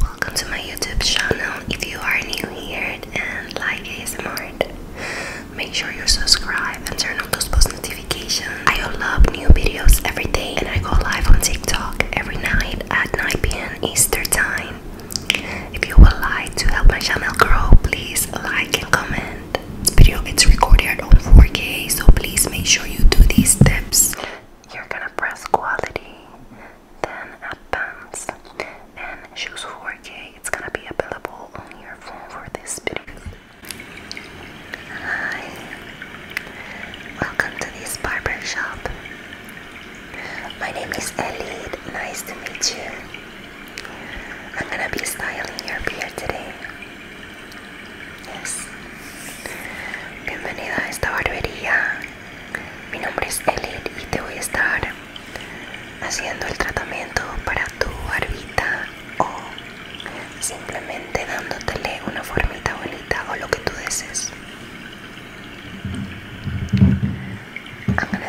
Welcome to my YouTube channel if you are new here and like ASMR. Make sure you subscribe and turn on those post notifications. I upload new videos every day and I go live on TikTok every night at 9 p.m. Eastern Time. If you would like to help my channel grow, please like and comment. This video gets recorded on 4K, so please make sure you do these steps. You're gonna press quality, then advanced, and choose 4K it's gonna be available on your phone for this video. Hi, welcome to this barber shop. My name is Elliot, nice to meet you. I'm gonna be styling your beard today. Yes. Bienvenida a esta barbería. Mi nombre es Elliot y te voy a estar haciendo el tratamiento para tu barbita o simplemente dándotele una formita bonita o lo que tú desees. I'm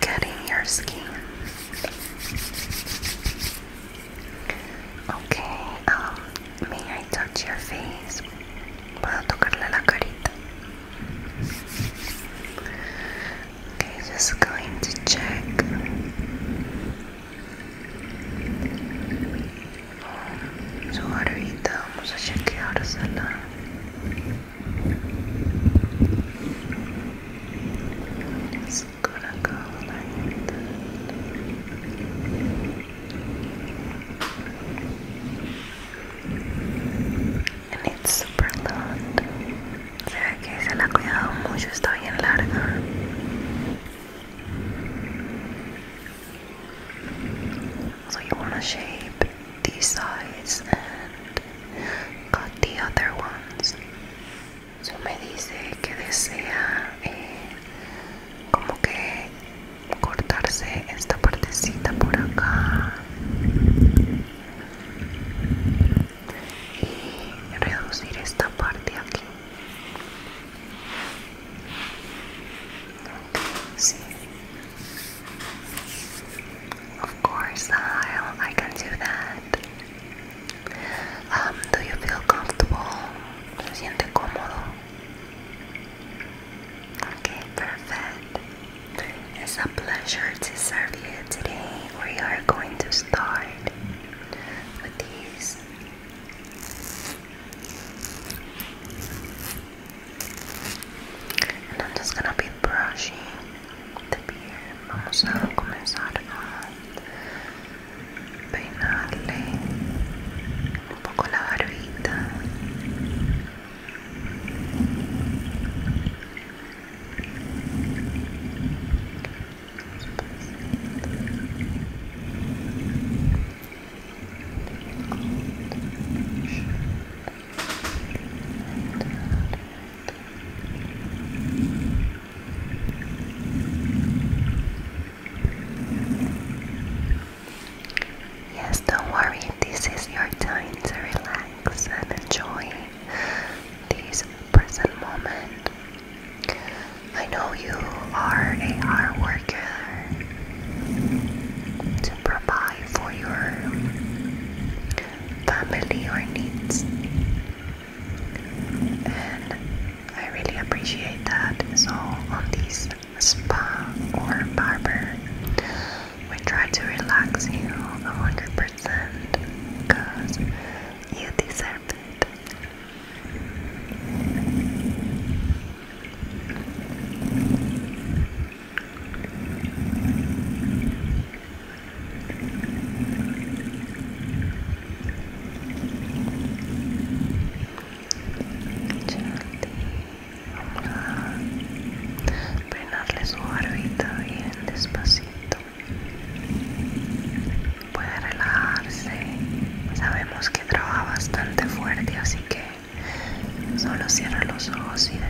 getting your skin. Okay, um, may I touch your face? Puedo tocarle la carita. Okay, just going to check. Su so, it's gonna go like that. And it's super long. Se ve que se la ha cuidado mucho, está bien larga. So you wanna shape these sides and cut the other ones. me dice que desea eh, como que cortarse esta partecita por acá y reducir esta parte aquí. Of course, I'll, I can do that. Um, do you feel comfortable? Okay, perfect. It's a pleasure to serve you today. We are going to start with these. And I'm just gonna be brushing bien, vamos a comenzar a peinarle un poco la barbita. Yes, don't worry, this is your time to relax and enjoy this present moment. I know you are a hard worker to provide for your family or needs. And I really appreciate that. So on these spa or barber, we try to relax you 100% because you deserve it. Vamos a peinarle su barbita bien despacito. Puede relajarse. Sabemos que trabaja bastante fuerte, así que solo cierra los ojos y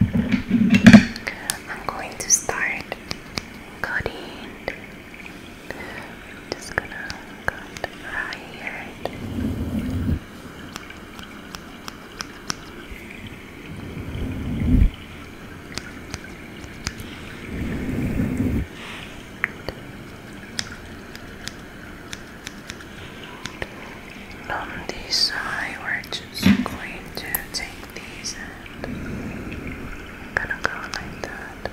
I'm going to start cutting. just gonna cut right here. And on this side, we I'm going to take these and I'm gonna go like that.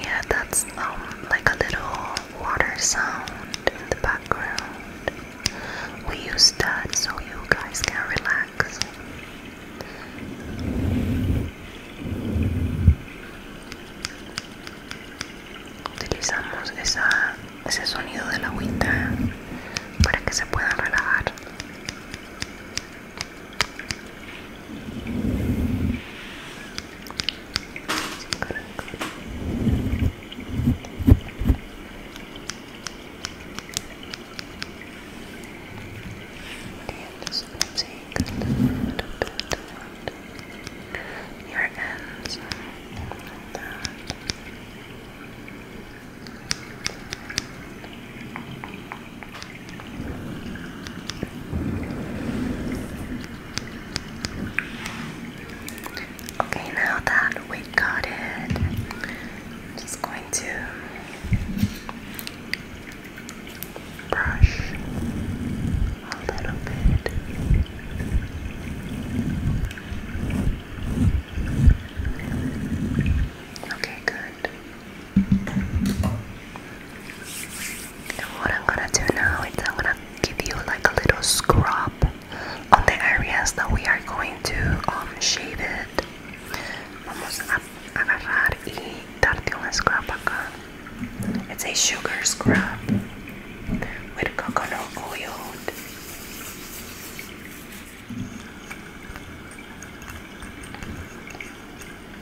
Yeah, that's um, like a little water sound in the background. We use that so you guys can relax. Utilizamos esa, ese sonido de la agüita para que se puedan relajar. I'm just going to take a little bit around your ends like that. Okay, now that we got it, I'm just going to brush a little bit. Okay, good what I'm gonna do now is I'm gonna give you like a little scrub on the areas that we are going to um, shave it. Vamos a agarrar y darte un scrub acá. It's a sugar scrub with coconut oil.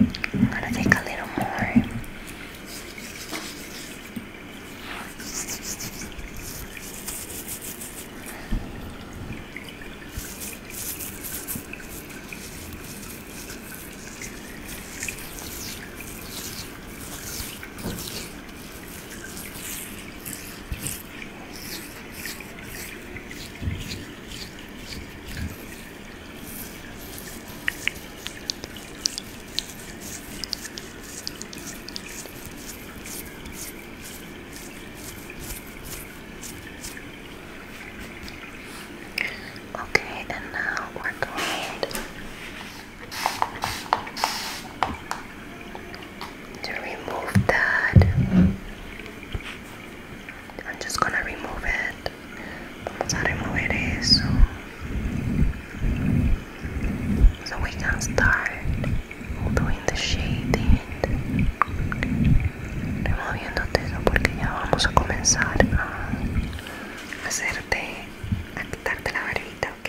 I'm gonna take a little more. Okay, and now we're going to remove that. I'm just gonna remove it. Vamos a remover eso. So we can start doing the shading. Removiéndote eso porque ya vamos a comenzar a hacerte, a quitarte la barbita, ¿ok?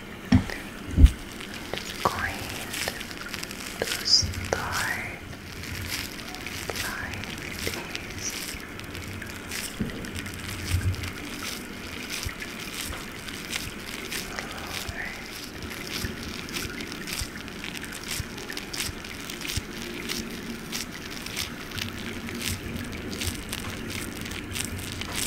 just going to start applying these.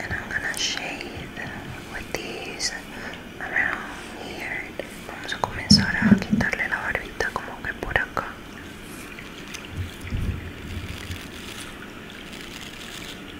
And I'm gonna shade with these around here. Vamos a comenzar a quitarle la barbita como que por acá.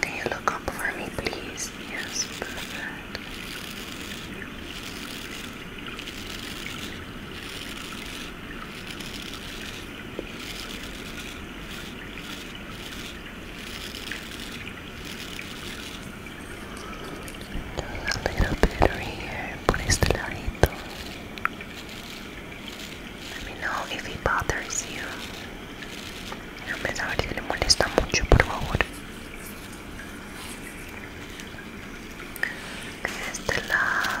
Can you look up for me, please? Yes, perfect. a little bit here por este let me know if it bothers you. Déjame saber si le molesta mucho, por favor. De este lado.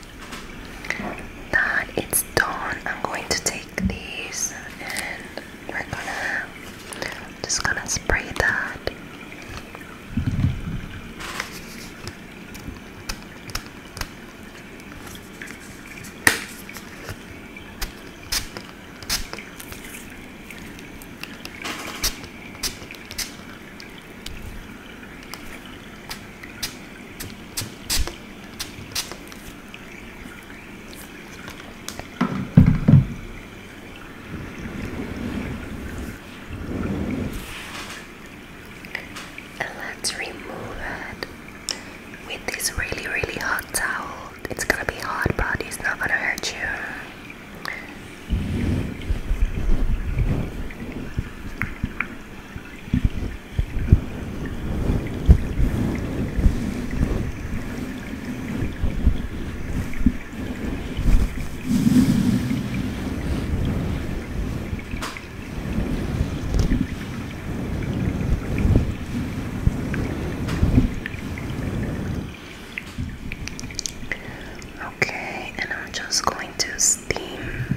that it's done, I'm going to take these and we're gonna just gonna spray that. And let's remove it with this really, really hot towel. It's gonna be hot, but it's not gonna hurt you. Okay, and I'm just going to steam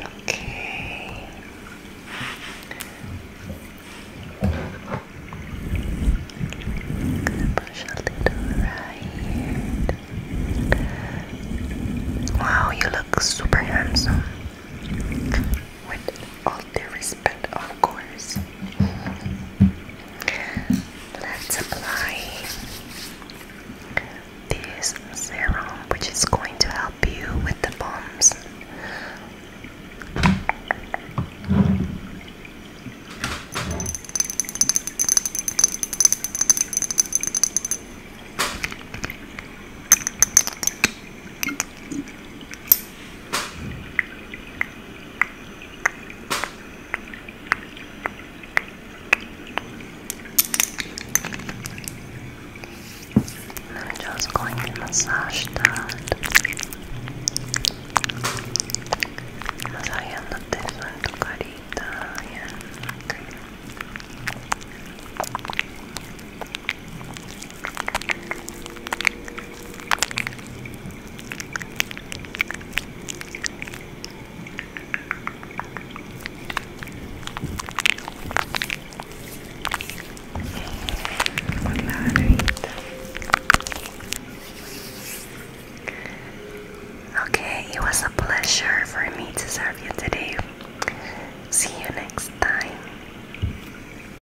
Okay. Wow, you look super handsome with all due respect, of course. Let's apply this serum, which is going to help you with the bumps. And I'm just going to massage that. Masajeándote en tu carita, bien. Okay. Okay, it was a pleasure for me to serve you today. See you next time.